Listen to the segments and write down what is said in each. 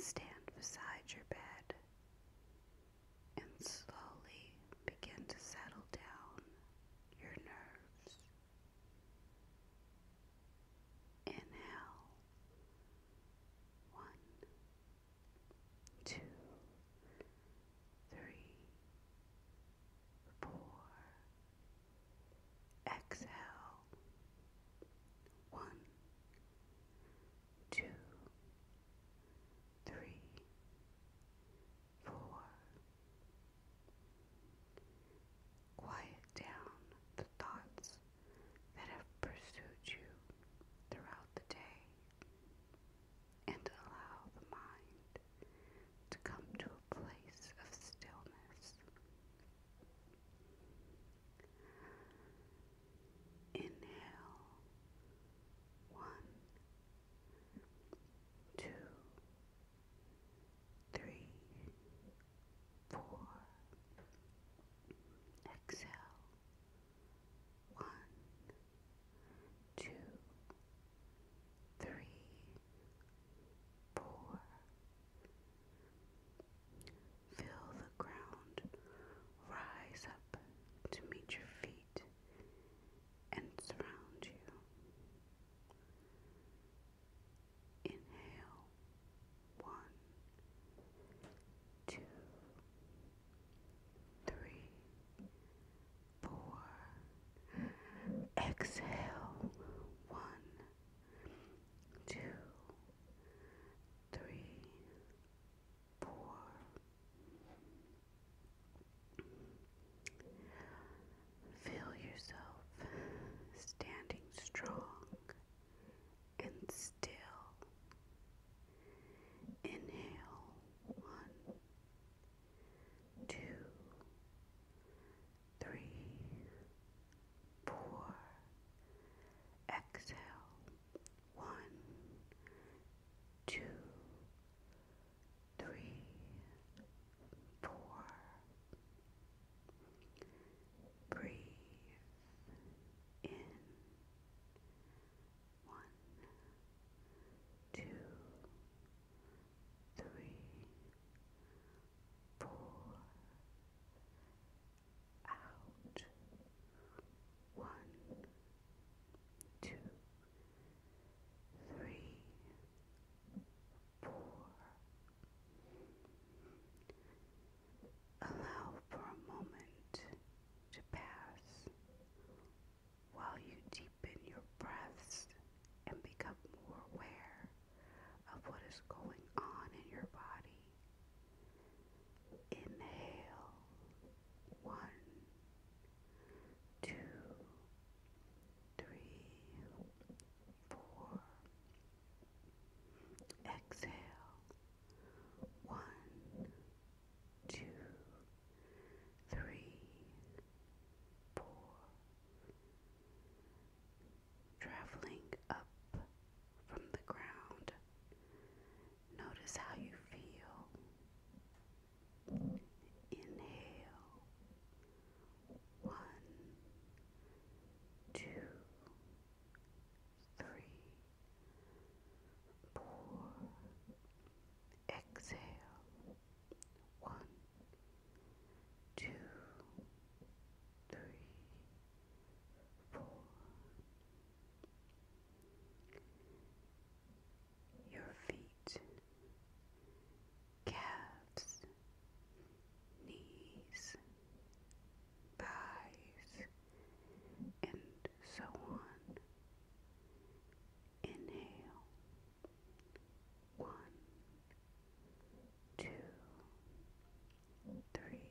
Stand beside your bed and slowly begin to settle down your nerves. Inhale. One, two, three, four, Exhale. One, two, three, four. Quiet down the thoughts that have pursued you throughout the day and allow the mind to come to a place of stillness. Inhale one, two, three, four. Exhale one, two, three, four. Feel the ground rise up to meet your feet and surround you. Inhale one, two, three, four. Exhale, one, two, three, four. Feel yourself standing strong and still. Inhale, one, two, three, four. Exhale, one, two, three, four. Breathe in. One, two, three, four, out, one, two, three, four. Allow for a moment to pass while you deepen your breaths and become more aware of what is going on in your body. Inhale one, two, three, four. Exhale one, two, three, four. Traveling up from the ground, notice how you feel. Inhale, one, two, three, four exhale. One, two, three, four. Your feet, calves, knees, thighs, and so on. Inhale. One, two, three,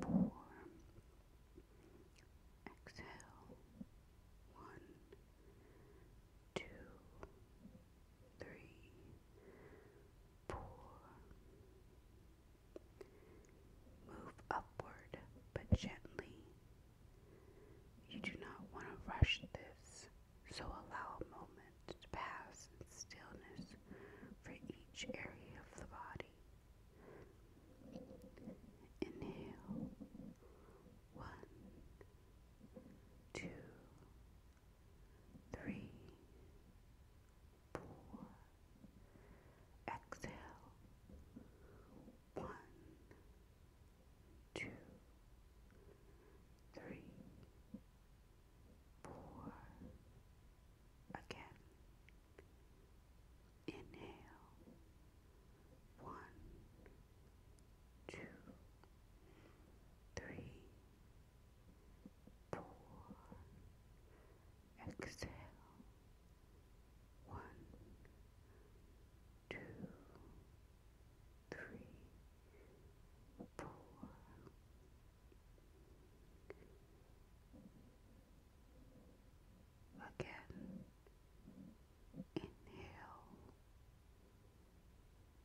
four. Exhale. One, two, three, four. Move upward but gently you do not want to rush this, so allow a moment to pass in stillness for each area of the body. Inhale one, two, three, four. Exhale one, two, three, four. Again. Inhale. One, two, three, four. Exhale. One, two, three, four. Again, inhale.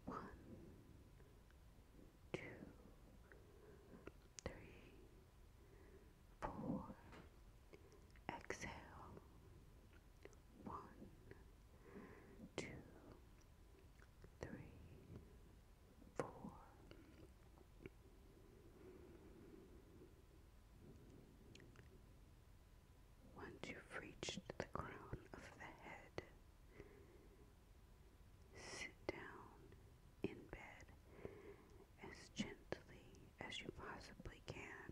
One, two, three, four, exhale, one, two, three, four. Once you've reached the crown of the head, sit down in bed as gently as you possibly can.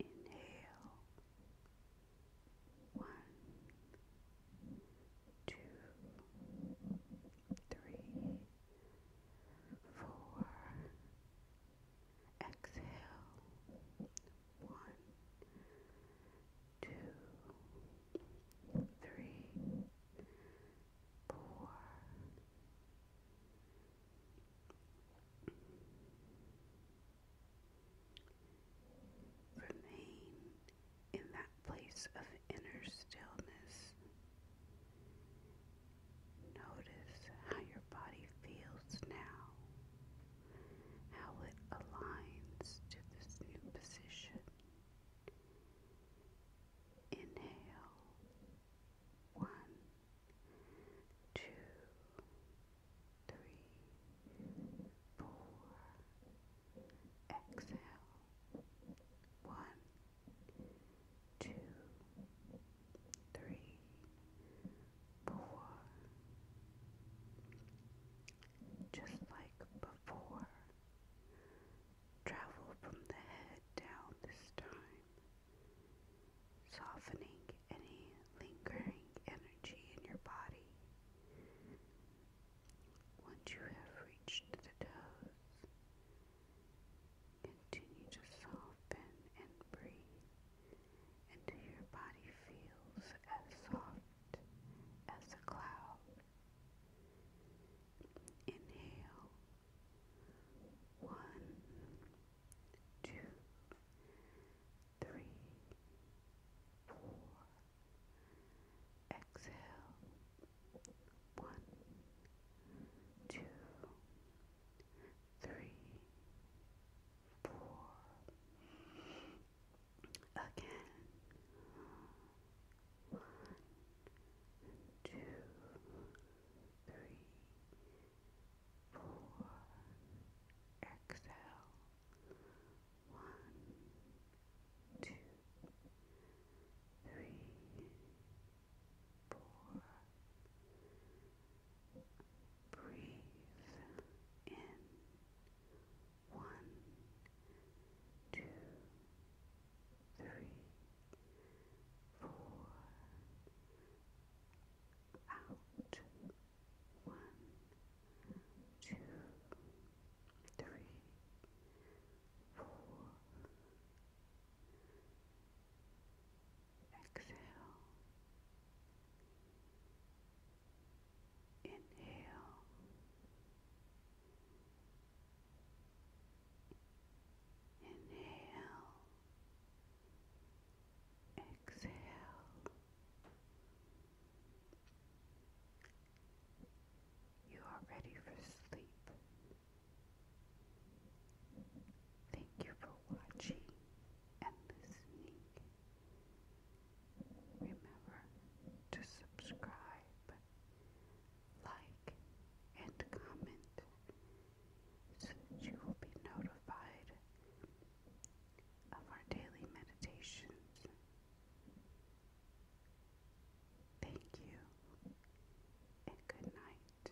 Inhale. One, two, three, four. Exhale. One, two, three, four. Remain in that place of inner stillness. Notice how your body feels now, how it aligns to this new position. Inhale. One, two, three, four. Exhale. One, two, three, four. Just like before, Travel from the head down this time, softening any lingering energy in your body. Once you have reached the toes, continue to soften and breathe until your body feels as soft as a cloud. Inhale. One, two, three, four. Exhale. One, two, three, four again. One, two, three, four. Exhale. One, two, three, four. Breathe in one, two, three, four, out, one, two, three, four, exhale. Inhale. Inhale. Exhale. You are ready for sleep. Thank you for watching and listening. Remember to subscribe, like, and comment so that you will be notified of our daily meditations. Thank you and good night.